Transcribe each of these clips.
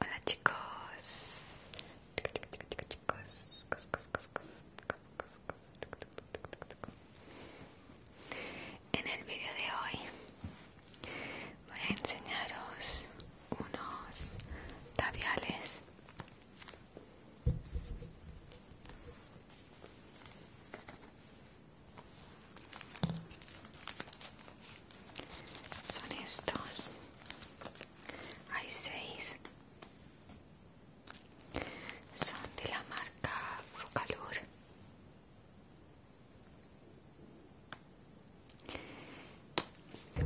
Hola chicos. Chicos, chicos. En el video de hoy voy a enseñaros unos labiales son estos. Hay seis. Son de la marca Focalur.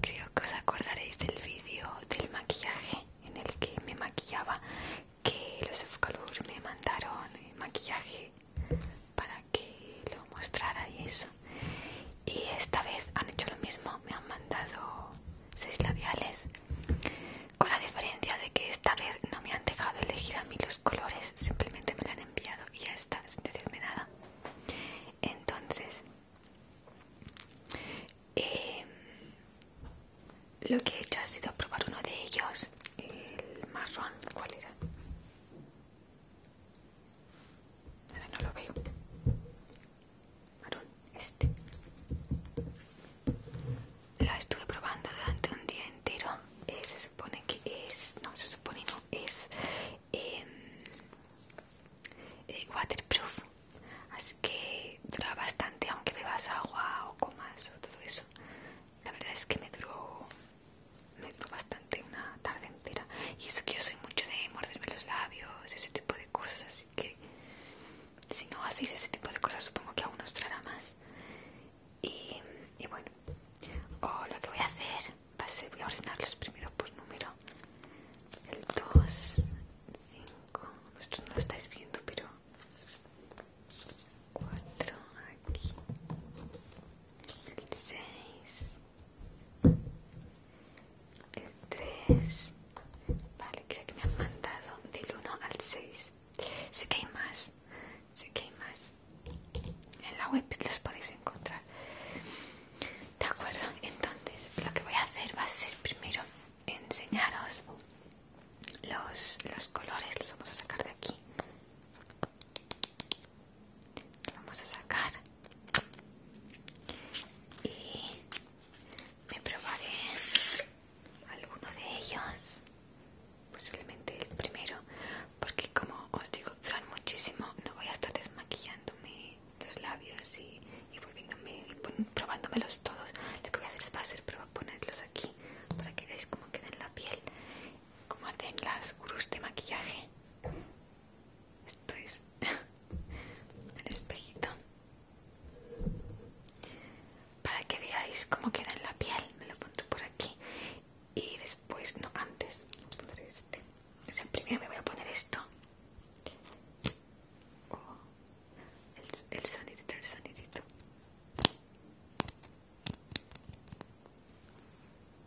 Creo que os acordaréis del vídeo del maquillaje en el que me maquillaba, que los de me mandaron maquillaje para que lo mostrara y eso. Y esta vez han hecho lo mismo, me han mandado seis labiales, con la diferencia de que esta vez no me han dejado elegir a mí los colores, simplemente me lo han enviado y ya está, sin decirme nada. Entonces, em, lo que he hecho ha sido probar uno de ellos, el marrón, ¿cuál era? no lo veo. este. Lo estuve probando durante un día entero. Eh, se supone que es. No, se supone no. Es. Em, eh, waterproof. Así que dura bastante, aunque bebas agua o comas o todo eso. La verdad es que me duró me duró bastante una tarde entera y eso que yo soy mucho de morderme los labios ese tipo de cosas así que si no hacéis ese tipo de cosas supongo que aún os traerá más y, bueno o lo que voy a hacer va a ser voy a ordenarlos primero por número el 2 5 vosotros no lo estáis viendo pero 4 aquí el 6, el 3. Vale, creo que me han mandado del 1 al 6. Sé que hay más, sé que hay más. En la web los podéis encontrar. ¿De acuerdo? Entonces, lo que voy a hacer va a ser primero enseñaros los, los colores. Los vamos a sacar de aquí vamos a sacar y me probaré alguno de ellos posiblemente el primero porque como os digo duran muchísimo no voy a estar desmaquillándome los labios y, y probándomelos todos lo que voy a hacer va ponerlos aquí para que veáis cómo queda en la piel como hacen las gurús de maquillaje. Esto es el espejito. Para que veáis cómo queda en la piel, me lo pongo por aquí. Y después, no antes, me este. primero me voy a poner esto. el, oh, el el sonidito.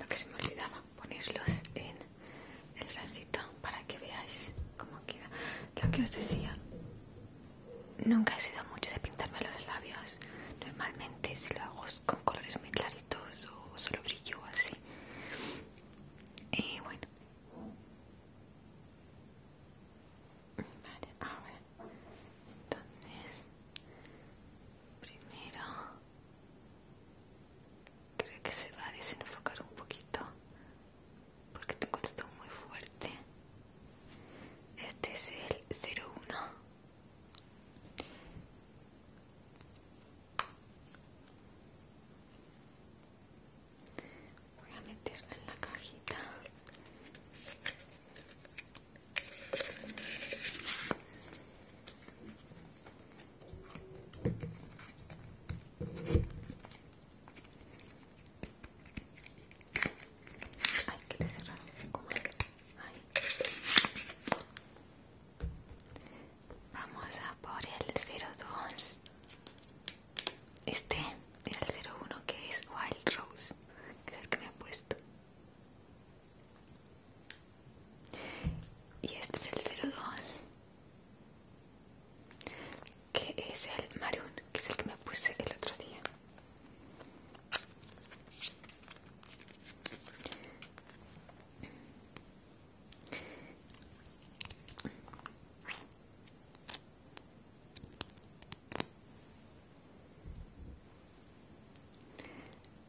lo que se me olvidaba ponerlos en el bracito para que veáis cómo queda lo que os decía nunca he sido mucho de pintarme los labios normalmente si lo hago con colores muy claritos o solo brillo así y bueno vale a ver entonces primero Creo que se va a desenfocar un poquito porque tengo esto muy fuerte. Este es el 01. Voy a meterlo en la cajita. Vamos a por el 02. Este era 01 que es Wild Rose, que me ha puesto. Y este es el 02, que es el maroon, que es el que me puse el otro día.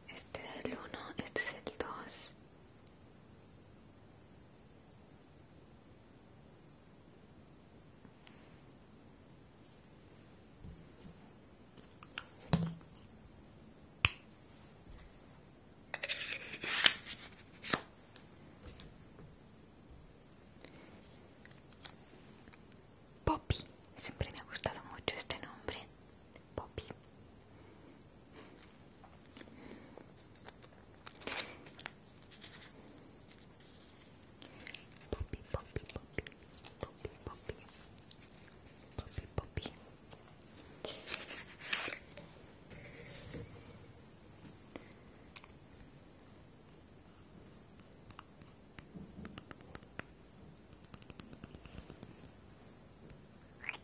Este es el 1, este es el 2 Poppy, siempre me ha gustado mucho este nombre. Puppy, puppy, puppy, puppy, puppy, Poppy, Poppy, Poppy.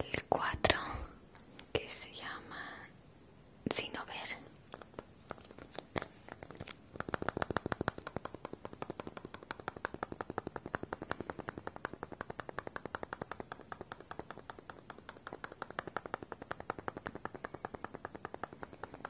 el 4 que se llama sin ver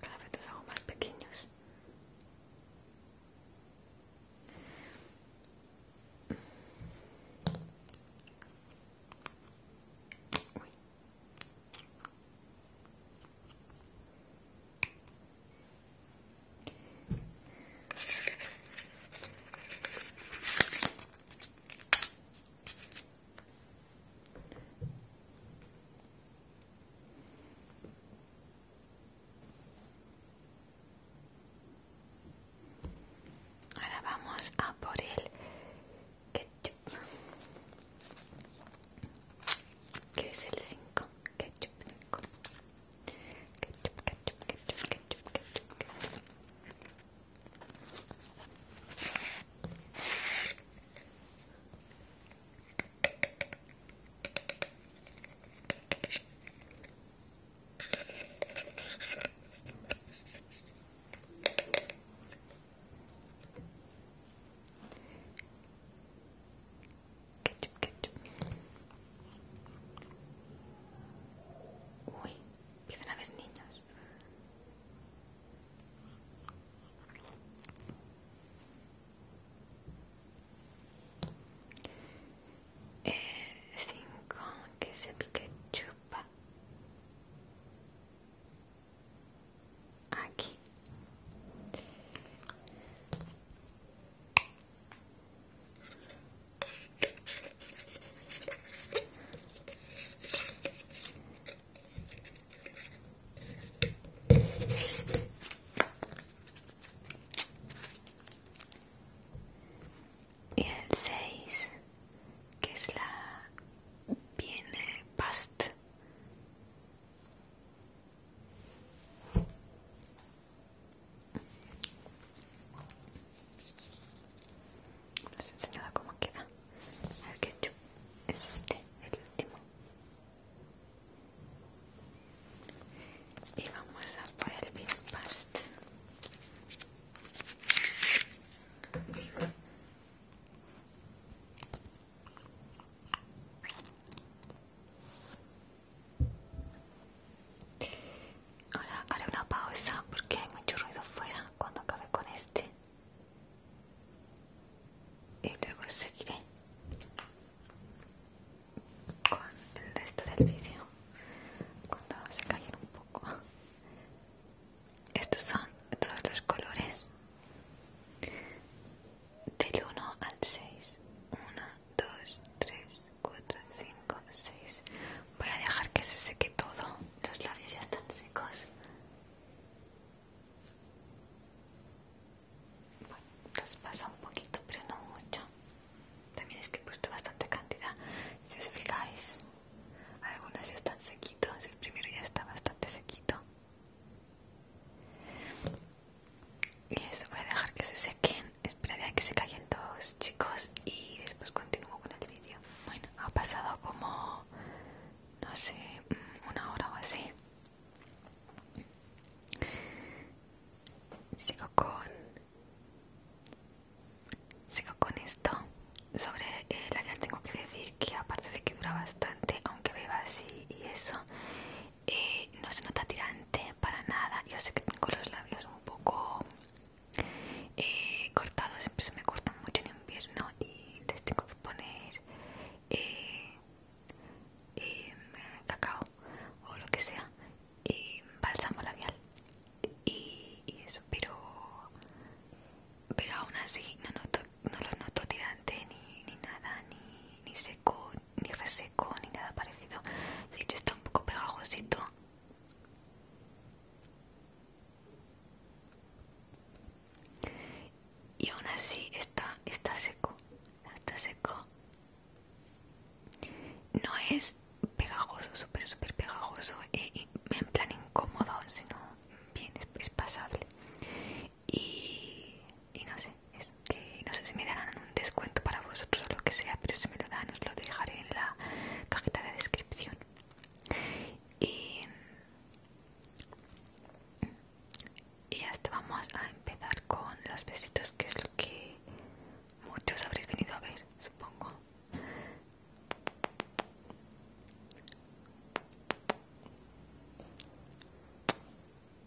Cada vez los hago más pequeños. Ahora vamos a por el que es el 5 ketchup ketchup ketchup ketchup ketchup Uy, empiezan a ver niños. El que se chupa. Aquí y el 6 que es la viene past les he cómo queda el ketchup. Es este, el último. Y vamos a por el pastel. Ahora haré una pausa porque hay mucho ruido fuera cuando acabe con este. Y luego seguiré con el resto del vídeo cuando se callen un poco. Estos son todos los colores del 1 al 6. 1, 2, 3, 4, 5, 6. Voy a dejar que se seque todo. Los labios ya están secos. Bueno, pasa un poquito, pero no mucho. También es que he puesto bastante cantidad. Si os fijáis, algunos ya están sequitos. El primero ya está bastante sequito y eso voy a dejar que se sequen esperaré a que se callen todos chicos y después continúo con el vídeo bueno ha pasado como no sé mm, una hora o así sigo con sigo con esto sobre eh, la labial tengo que decir que aparte de que dura bastante aunque beba así y eso eh, no se nota tirante para nada. Yo sé que tengo los labios un poco eh, cortados, siempre se me cortan mucho en invierno y les tengo que poner eh, cacao o lo que sea, y bálsamo labial y, eso, pero pero aún así no, no lo noto tirante ni, nada, ni seco, ni reseco ni nada parecido. De hecho está un poco pegajosito. Y aún así está, está seco. Está seco. No es pegajoso, súper, súper pegajoso. E, y en plan incómodo, sino bien, es pasable. Y y no sé, es que no sé si me darán un descuento para vosotros o lo que sea, pero si me lo dan os lo dejaré en la cajita de descripción. Y, y hasta vamos a empezar con los besitos, que es lo que muchos habréis venido a ver, supongo.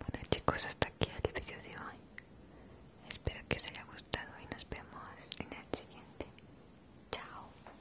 bueno chicos, hasta aquí el video de hoy. Espero que os haya gustado y nos vemos en el siguiente. Chao.